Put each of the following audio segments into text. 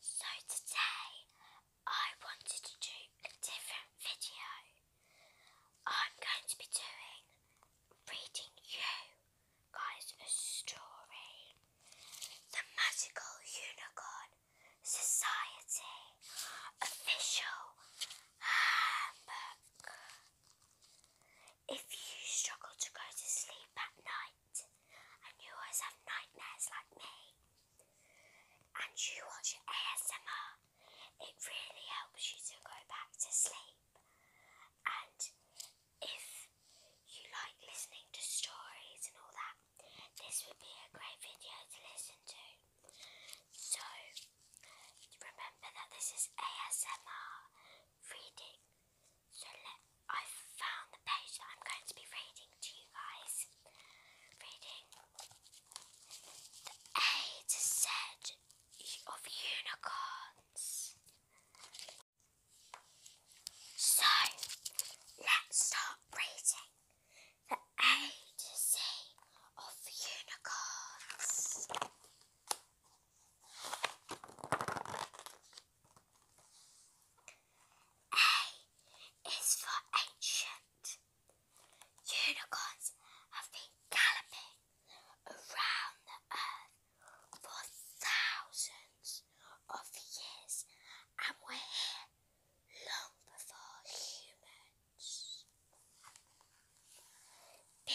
So today I wanted to do a different video. I'm going to be doing reading you guys a story. The Magical Unicorn Society Official Handbook. If you struggle to go to sleep at night, and you always have nightmares like me, and you watch ASMR, it really helps you to go back to sleep. And if you like listening to stories and all that, this would be a great video to listen to. So remember that this is ASMR reading. So I've found the page that I'm going to be reading to you guys. Reading the A to Z of unicorns. So let's start reading the A to Z of unicorns. A is for ancient. Unicorns have been galloping around the earth for thousands of years and were here long before humans. B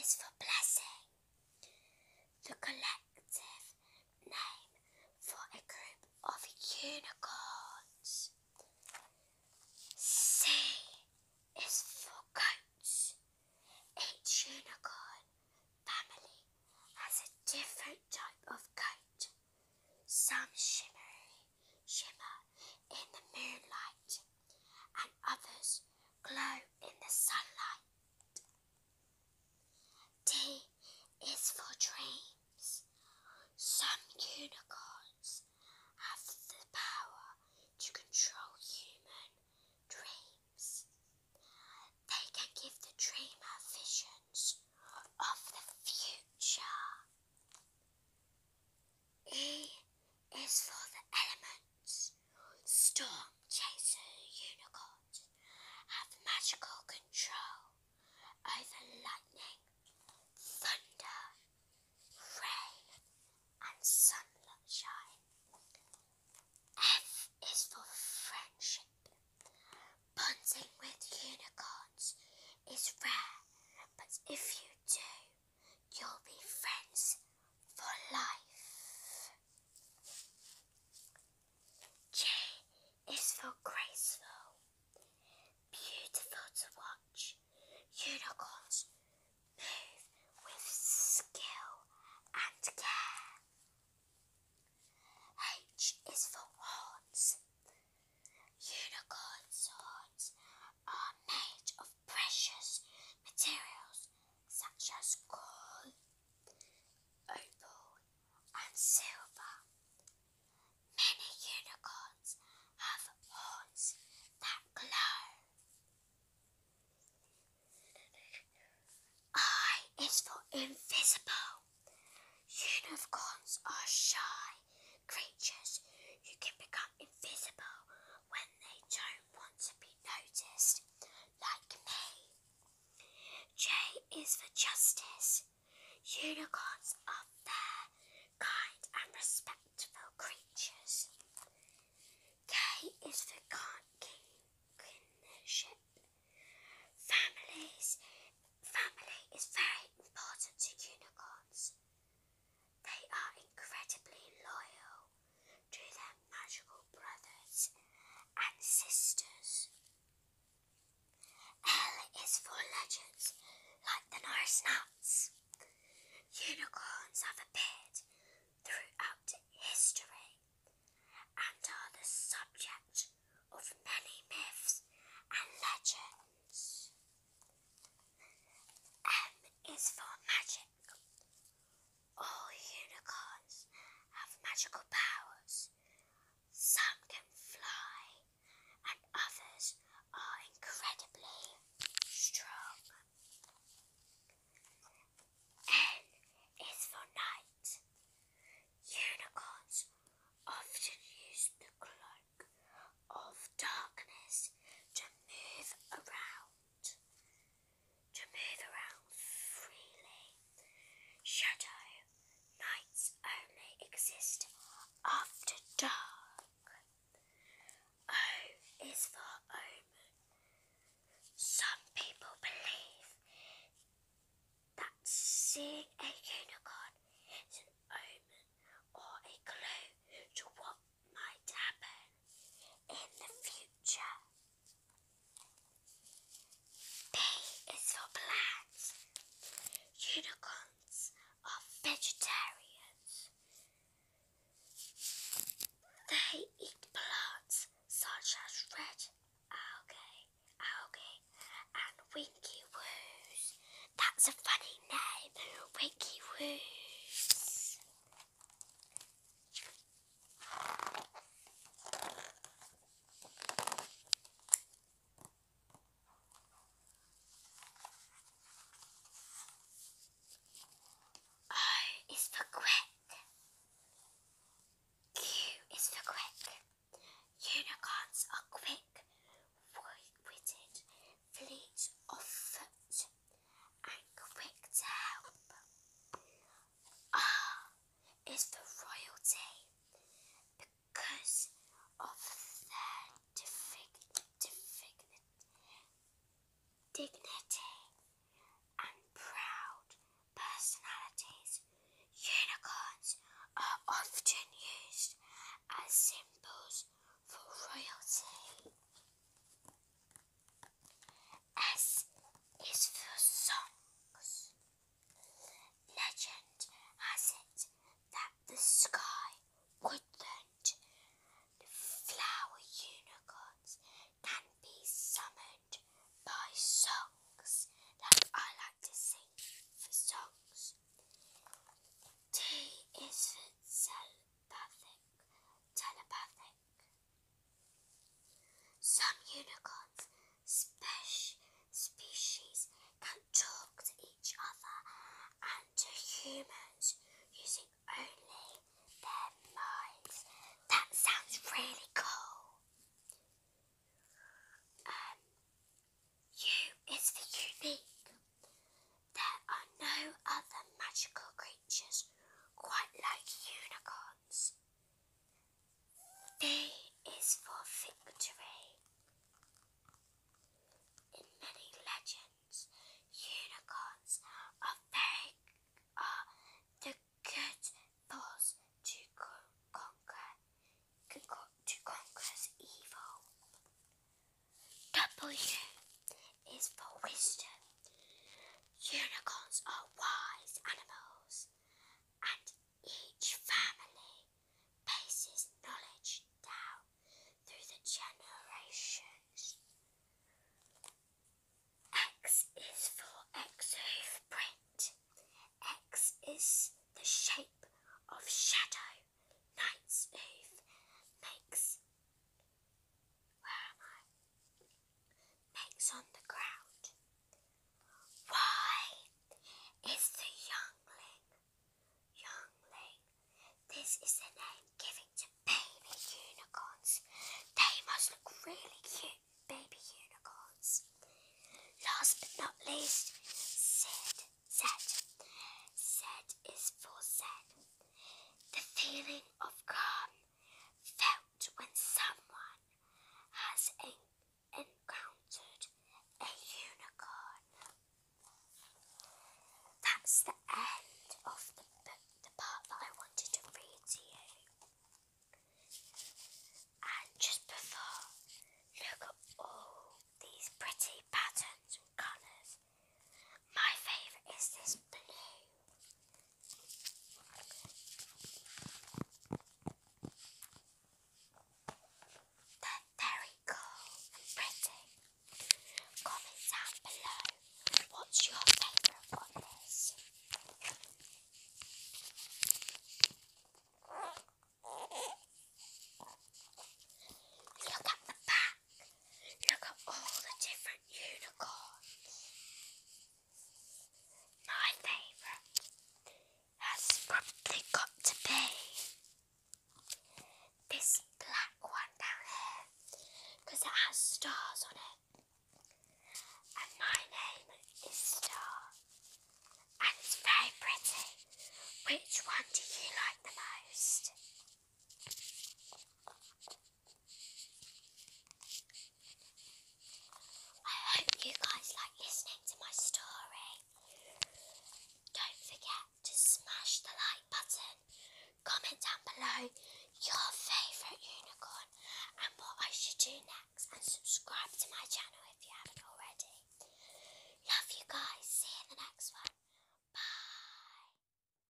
is for blessing the collective name for a group of unicorns. C is for coats. Each unicorn family has a different type of coat. Some shimmery shimmer in the moonlight, and others glow in the sunlight. D is for dreams. Some unicorns have the power to control human dreams. They can give the dreamer visions of the future. E is for the elements. Storm chaser unicorns have magical control over lightning, thunder, rain, and sunshine. F is for friendship. Bonding with unicorns is rare, but if you do, you'll be friends for life. J is for graceful, beautiful to watch. Unicorns move with skill and care. H is for horns. Unicorns' horns are made of precious materials such as gold opal, and silver. Many unicorns have horns that glow. I is for invisible. Unicorns are shy creatures who can become invisible when they don't want to be noticed, like me. J is for justice. Unicorns are fair, kind, and respectful creatures. K is for kinship. Families, family is very important to unicorns. They are incredibly loyal to their magical brothers and sisters. L is for legends like the Norse nuts. Unicorns have appeared throughout history and are the subject of many myths and legends. M is for magic. All unicorns have magical powers. Some can fly, and others are incredibly strong. N is for night. Unicorns often use the cloak of darkness to move around to move around freely. Shadow nights only exist after dark. O is for omen. Some people believe that seeing a unicorn is an omen or a clue to what might happen in the future. B is for plants. Unicorns are vegetarians. They eat plants such as red algae, algae, and winky woos. That's a funny name, winky woos. O uh, is for quick. Q is for quick. Unicorns are quick, wide-witted, fleet of foot and quick ah, to help. R is for royalty because of their dignity and proud personalities. Unicorns are often used as symbols for royalty. S is for songs. Legend has it that the sky, woodland, the flower unicorns can be summoned by songs. Like I like to sing for songs. T is for telepathic. Telepathic. Some unicorns speci species can talk to each other and to humans using only their minds. That sounds really cool. U is for unique. There are no other magical creatures creatures, quite like unicorns. V is for victory. In many legends, unicorns are very are the good force to conquer, to conquers evil. W is for wisdom. Unicorns are wise animals, and each family passes knowledge down through the generations. X is for X hoof print. X is the shape of shadow. Knight's hoof makes where am I? Makes on the ground. Why is the youngling? Youngling. This is the name given to baby unicorns. They must look really cute, baby unicorns. Last but not least, Sid. Zed. Zed is for Zed. The feeling of calm felt when someone has encountered a unicorn. That's the end of the the part that I wanted to read to you. And just before, look at all these pretty patterns and colours my favourite is this blue. They're very cool and pretty. Comment down below what's your favourite one is. Look at the back. Look at all the different unicorns. My favourite has probably got to be this black one down here it has stars on it. And my name is Star. And it's very pretty. Which one do you like the most? I hope you guys like listening to my story. Don't forget to smash the like button, comment down below your favourite unicorn and what I should do next, and subscribe to my channel if you haven't already. Love you guys. See in the next one. Bye.